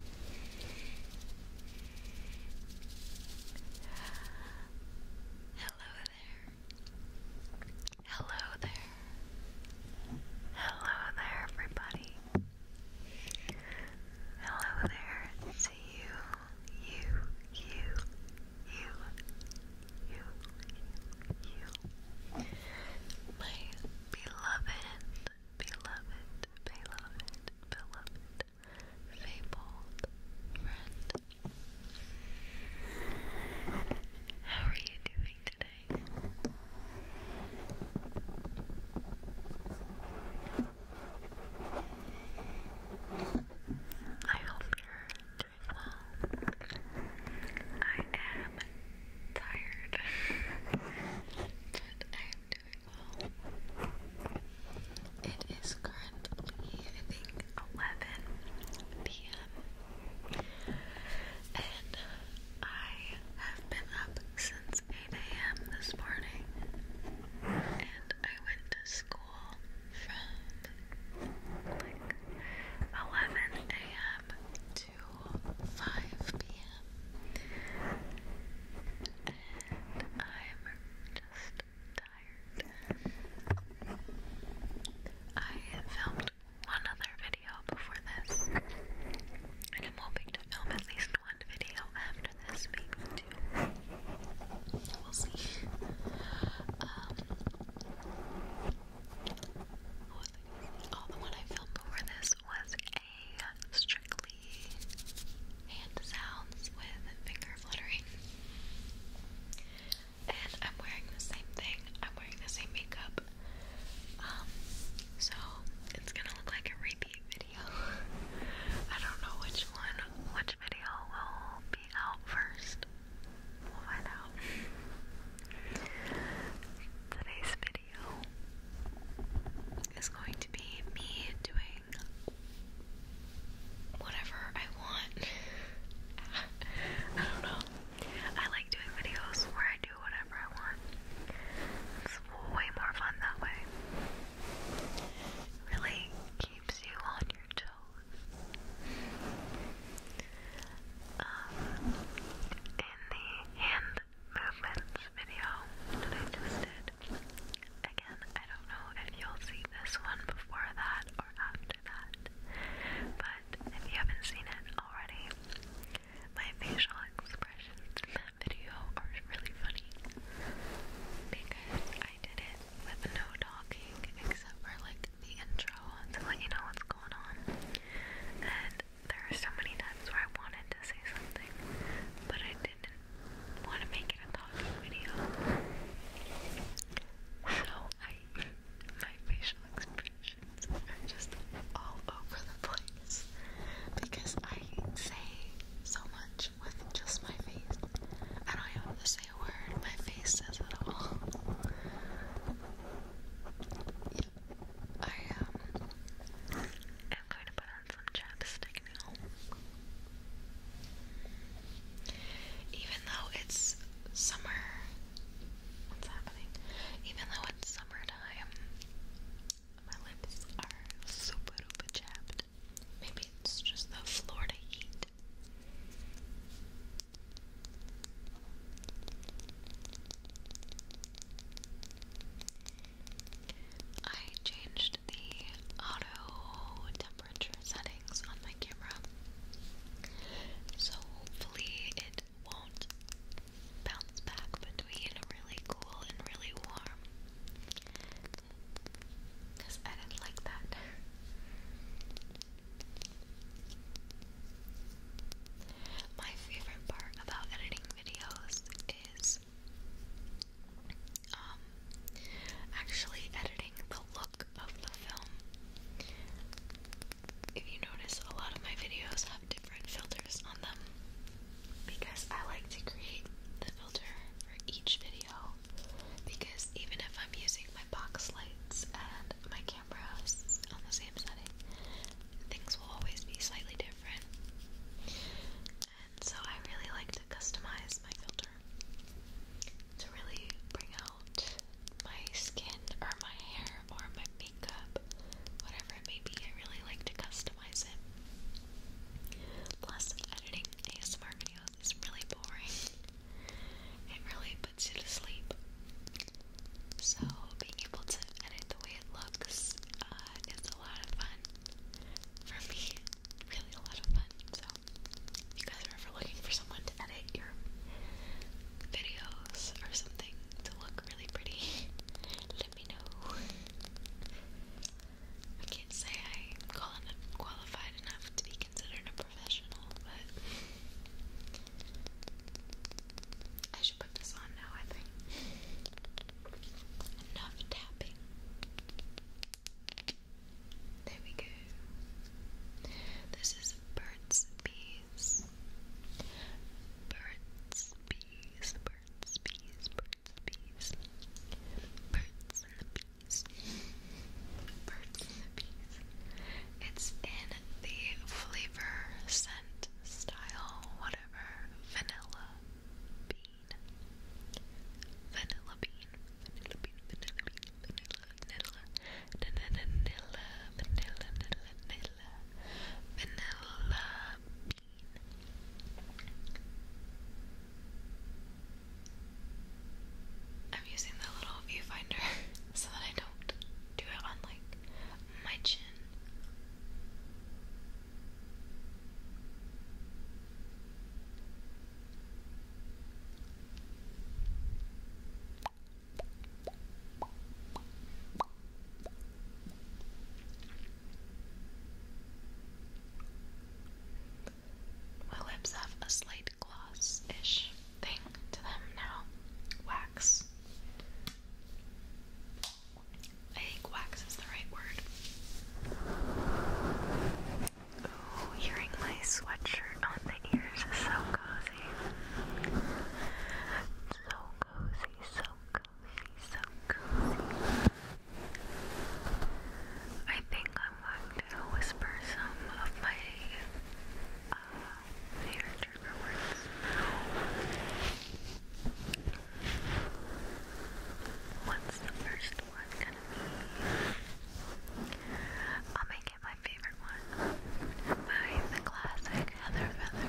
Hello there. Hello there. Hello there, everybody. Hello there to you, you, you, you, you, you, you. My beloved beloved, beloved, beloved, fabled friend. How are you doing today? I hope you're doing well. I am tired, but I am doing it is currently, I think, 11 p.m. And I have been up since 8 a.m. this morning. And I went to school from like 11 a.m. 5 p.m. and I'm just tired. I filmed one other video before this, and I'm hoping to film at least one video after this, week too. we We'll see. Um, the one I filmed before this was a strictly hand sounds with finger fluttering. And I'm wearing the same thing. I'm wearing the same makeup. Um, so it's gonna look like a repeat video. I don't know which one, which video will be out first. We'll find out. Today's video video is going to be me doing whatever I want. I don't know. I like doing videos where I do whatever I want. It's way more fun that way. really keeps you on your toes. Um, in the hand movements video that I just did. Again, I don't know if you'll see this one before that or after that, but if you haven't seen it already, my facial expressions in that video are really funny because I did it with no talking except for like the intro to let you know what's going on. And there are so many times where I wanted to say something, but I didn't want to make it a talking video. So my facial expressions are just all over the place because I say so much with just my face. I don't even have to say a word, my face says it all. I um, am going to put on some chapstick now. Even though it's summer what's happening? Even though it's summertime, my lips are super duper chapped. Maybe it's just the Florida heat. I changed the auto temperature settings on my camera, so hopefully it won't bounce back between really cool and really warm. Because I didn't like that. My favorite part about editing videos is um, actually editing the look of the film. If you notice, a lot of my videos have different filters on them because I like to create the filter for each video. Because even if I'm using my box lights and my cameras on the same setting, things will always be slightly different. And so I really like to customize my filter to really bring out my skin or my hair or my makeup, whatever it may be. I really like to customize it. Plus, editing ASMR videos is really boring. It really puts you to sleep. So being able to edit the way it looks uh, is a lot of fun for me. Really a lot of fun. So if you guys are ever looking for someone to edit your videos or something to look really pretty, let me know. I can't say I'm qualified enough to be considered a professional, but put this on now, I think. Enough tapping. There we go. This is Burt's Bees. Burt's Bees, Burt's Bees, Burt's Bees. Birds and the Bees. Birds and the Bees. It's in the flavor scent style, whatever, vanilla bean. Vanilla bean, vanilla bean, vanilla bean, vanilla, vanilla, vanilla, vanilla, vanilla, vanilla bean. I'm using the little viewfinder so that I don't do it on like my chin my lips have a slight gloss ish thing to them now. Wax. I think wax is the right word. Ooh, hearing my sweatshirt on the ears is so cozy. So cozy, so cozy, so cozy. I think I'm going to whisper some of my uh, searching for What's the first one gonna be? I'll make it my favorite one by classic Heather Feather.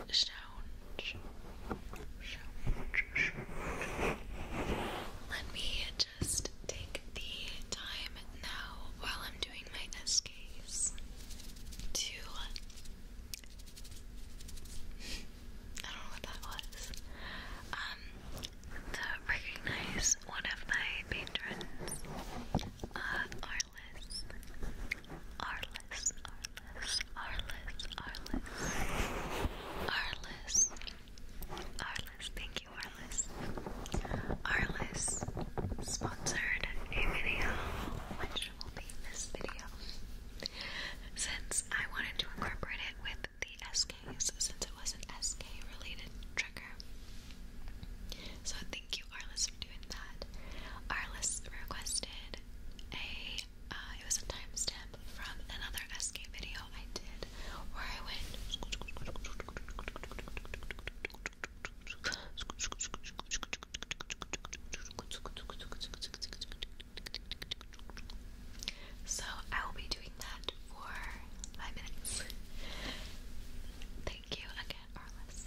and sounds. Sounds. Let me just take the time now while I'm doing my SKs to. I don't know what that was. Um, to recognize one of my patrons, uh, Arliss. Arliss, Arliss, Arliss, Arliss, Arliss, Arliss, thank you, Arliss. Arliss sponsored a video, which will be this video. Since I wanted to incorporate it with the SKs, since it was an SK related trigger. So thank you, Arliss, for doing that. Arliss requested a uh, it was a timestamp from another SK video I did where I went so I will be doing that for five minutes. Thank you again, Arliss.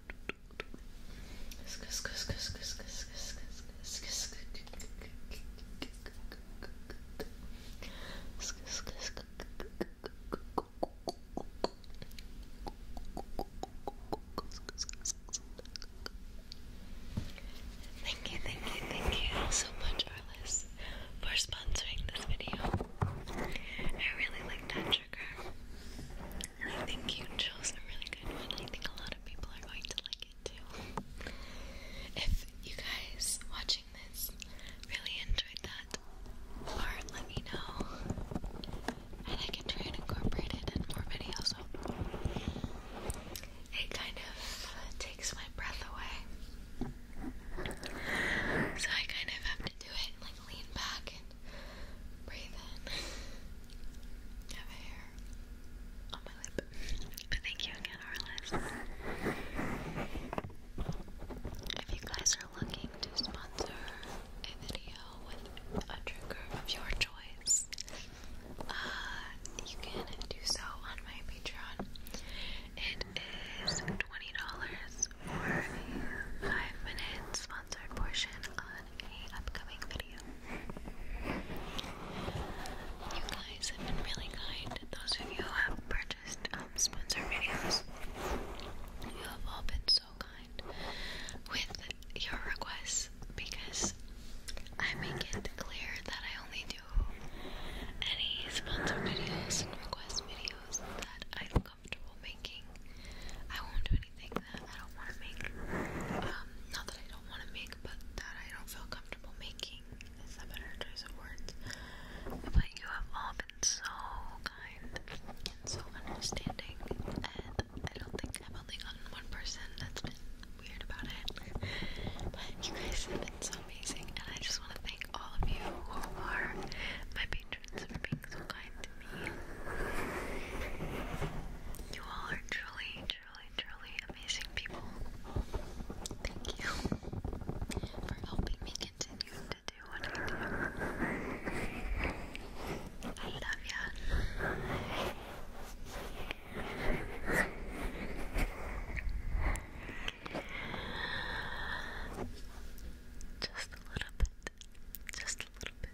Thank you, thank you, thank you so much, Arliss, for sponsoring this video. I really like that trigger. I think you chose a really good one. I think a lot of people are going to like it too. If you guys watching this really enjoyed that part, let me know. And I can try and incorporate it in more videos. It kind of takes my breath away. So I kind of have to do it like lean back and Breathe in. have a hair on my lip. thank you again, If you guys are looking to sponsor a video with a trigger of your choice, uh, you can do so on my Patreon. It is $20 for a 5 minute sponsored portion on a upcoming video. You guys have been really kind. Those of you who have purchased um, sponsor videos, you have all been so kind with your requests because I make it clear that I only do any sponsor videos and request videos that I'm comfortable making. I won't do it. I don't want to make. Um, not that I don't want to make, but that I don't feel comfortable making is a better choice of words. But you have all been so kind and so understanding, and I don't think I've only gotten one person that weird about it. you guys have been so amazing, and I just want to thank all of you who are my patrons for being so you all are truly, truly, truly amazing people. Thank you for helping me continue to do what I do. I love you. Just a little bit. Just a little bit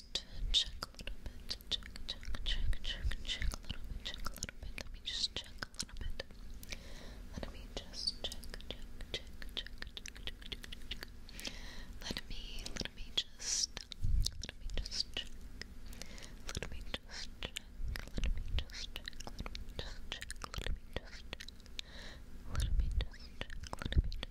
just check a little bit. Check, check, check, check, check a little bit. Check a little bit. Let me just check a little bit. Let me just check, check, check, check, check, check, check, check. Let me, let me just, let me just check. Let me just check. Let me just check. Let me just check. Let me just check. Let me just check. Let me just check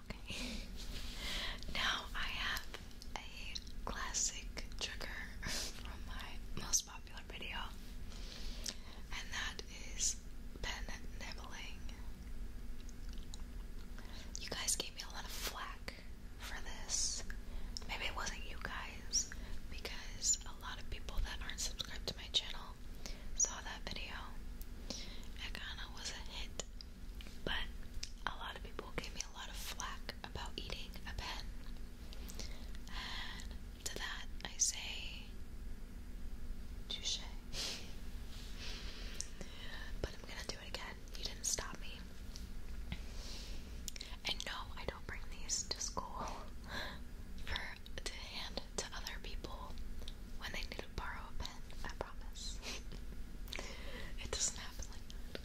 Okay. now I have a classic trigger from my most popular video, and that is pen nibbling. You guys gave me a lot of flack for this. Maybe it wasn't you guys, because a lot of people that aren't subscribed to my channel saw that video. It kinda was a hit but a lot of people gave me a lot of flack about eating a pen. to that, I say, touche. but I'm gonna do it again. You didn't stop me. And no, I don't bring these to school for to hand to other people when they need to borrow a pen promise. it doesn't happen like that.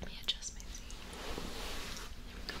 Let me adjust my seat. There we go.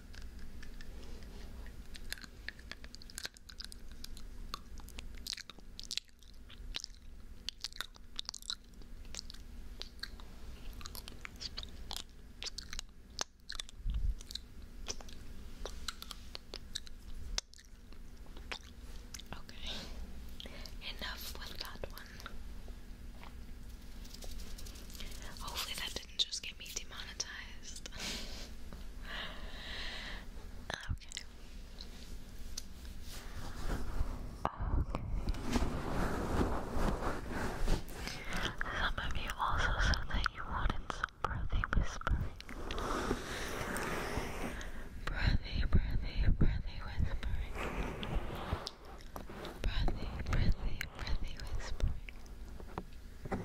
Okay, enough with that one. Hopefully, that didn't just get me demonetized. okay. Okay. Some of you also said that you wanted some breathy whispering. Breathy, breathy, breathy whispering breathy, breathy, breathy whispering.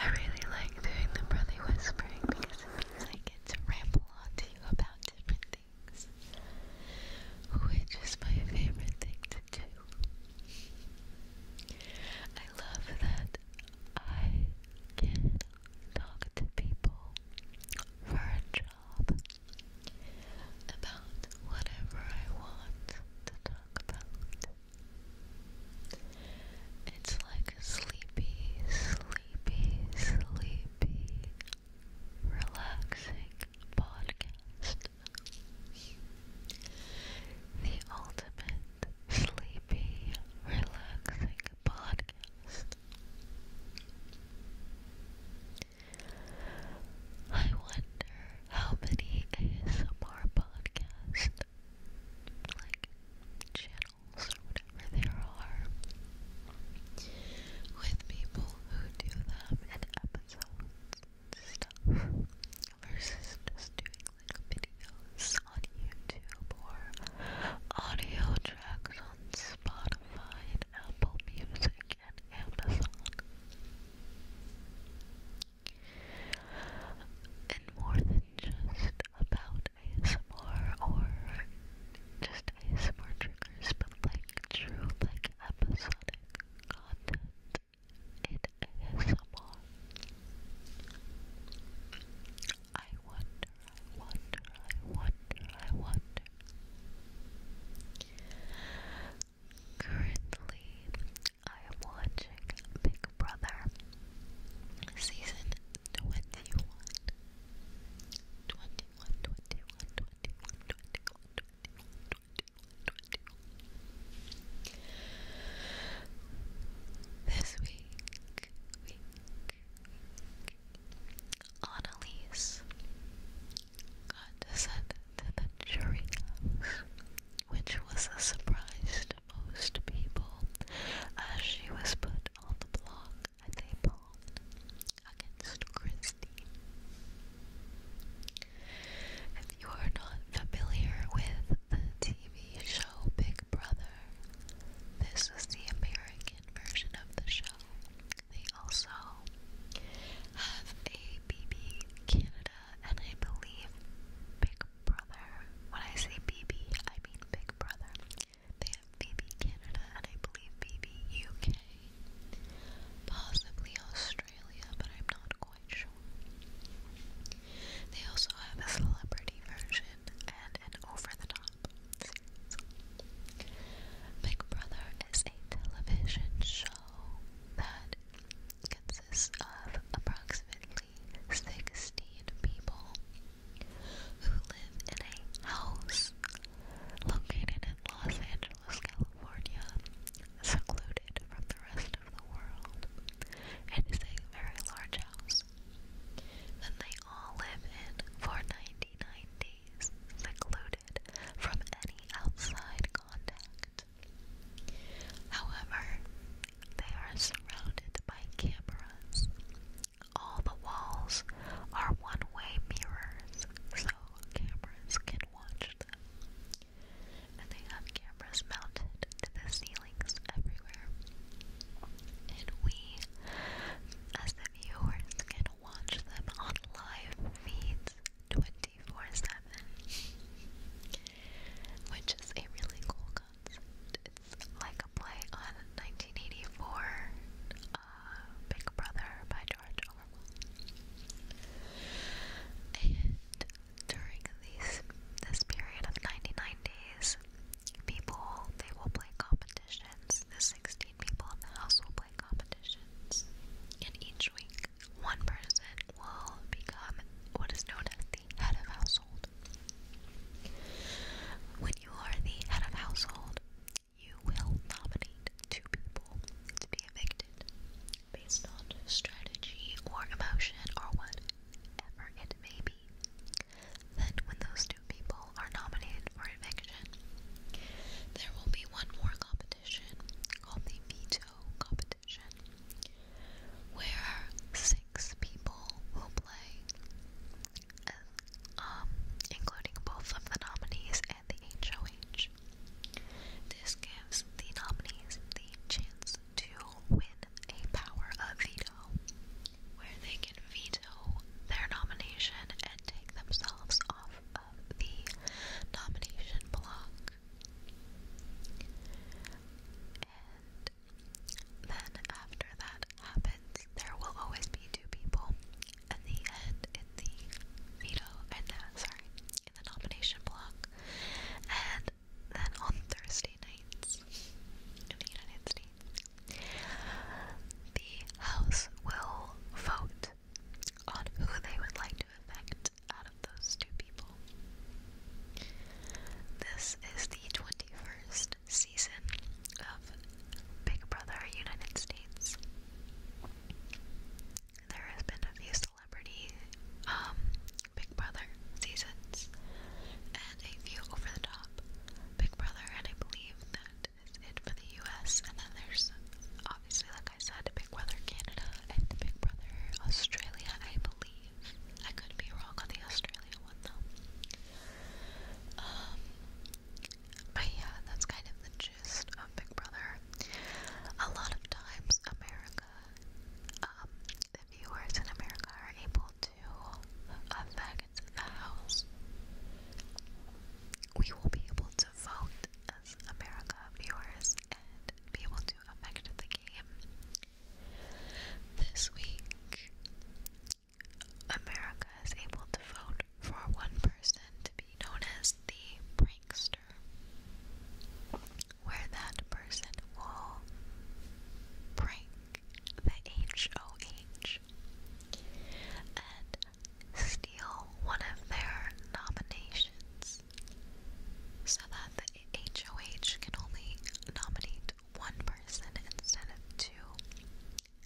I really like doing the breathy whispering because it means I get to ramble on to you about different things, which is my favorite thing to do. I love that I can talk to people for a job about whatever I want to talk about. It's like a sleepy, sleepy, sleepy, relaxing podcast. The ultimate sleepy, relaxing podcast. I wonder how many ASMR podcast like channels or whatever there are with people who do them in episodes stuff versus just doing like videos on YouTube or audio tracks on Spotify and Apple Music and Amazon. And more than just about ASMR or just ASMR triggers, but like true, like episodic content in ASMR. I wonder, I wonder, I wonder, I wonder. Currently, I am watching Big Brother season 21. This week, week, week, Annalise condescended to the jury house, which was a surprise to most people, as she was put on the block and they pawned against Christie. If you are not familiar with the TV show Big Brother, this is the American version of the show, they also have a BB Canada and I believe Big Brother. When I say BB, I mean Big Brother. They have BB Canada and I believe BB UK. Possibly Australia, but I'm not quite sure. They also have a celebrity version and an over the top Big Brother is a television show show that consists of approximately 16 people who live in a house located in Los Angeles, California, secluded from the rest of the world. It is a very large house that they all live in for 99 days, secluded from any outside contact. However, they are surrounded by cameras. All the walls are one-way mirrors, so cameras can watch them. And they have cameras mounted to the ceilings everywhere. And we, as the viewers, can watch them on live feeds 24 7, which is a really cool concept. It's like a play on 1984 uh, Big Brother by George Orwell. And during these, this period of 99 days, people they will play competitions. The 16 people in the house will play different competitions, and each week one person will become what is known as the head of household. When you are the head of household, you will nominate two people to be evicted based on strategy or emotion or whatever it may be. Then, when those two people are nominated for eviction, there will be one more competition called the veto competition, where six people will play, uh, um, including both of the nominees and the HOH. This gives the nominees the chance to win a power of veto, where they can veto their nomination and take themselves off the nomination block. And then after that happens, there will always be two people at the end in the veto and uh, sorry, in the nomination block. And then on Thursday nights in the United States, the House will vote on who they would like to affect out of those two people. This is the 21st season of Big Brother United States. There has been a few celebrity um, Big Brother seasons and a few over the top Big Brother, and I believe that is it for the US. And then there's obviously, like I said, Big Brother Canada and Big Brother Australia, I believe. I could be wrong on the Australia one though. Um, but yeah, that's kind of the gist of Big Brother. A lot of times, America, um, the viewers in America are able to uh, affect the house. We will be able to vote as America viewers and be able to affect the game. This week, America is able to vote for one person to be known as the prankster, where that person will prank the H O H. And steal one of their nominations so that the HOH can only nominate one person instead of two.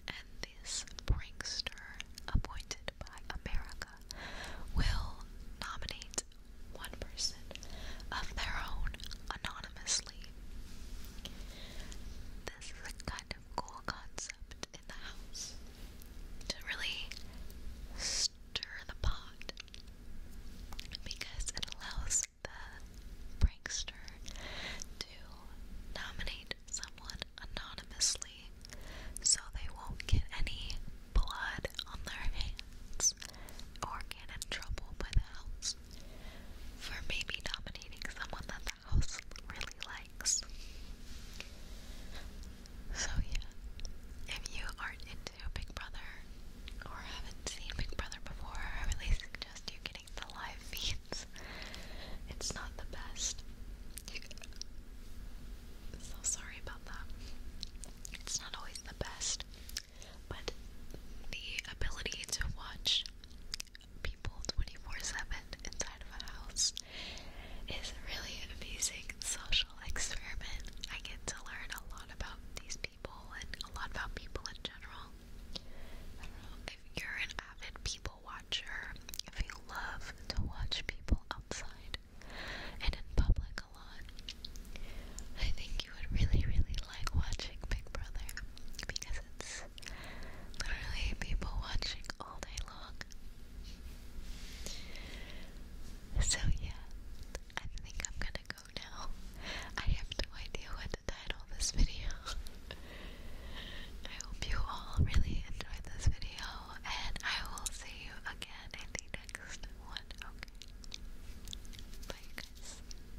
And this prankster, appointed by America, will nominate one person of their own anonymously. This is a kind of cool concept to really stir the pot because it allows the prankster to nominate someone anonymously so they won't get any blood on their hands or get in trouble by the house for maybe nominating someone that's really likes. So, yeah, if you aren't into Big Brother or haven't seen Big Brother before, I really suggest you getting the live feeds. It's not the best. So sorry about that. It's not always the best, but the ability to watch people 24-7 inside of a house is a really amazing social experiment. I get to learn a lot about these people and a lot about people in general. I don't know if you're an avid people watcher, if you love to watch people outside and in public a lot, I think you would really, really like watching Big Brother because it's literally people watching all day long. So, yeah, I think I'm gonna go now. I have no idea what to title this video. I hope you all really enjoyed this video, and I will see you again in the next one. Bye, guys.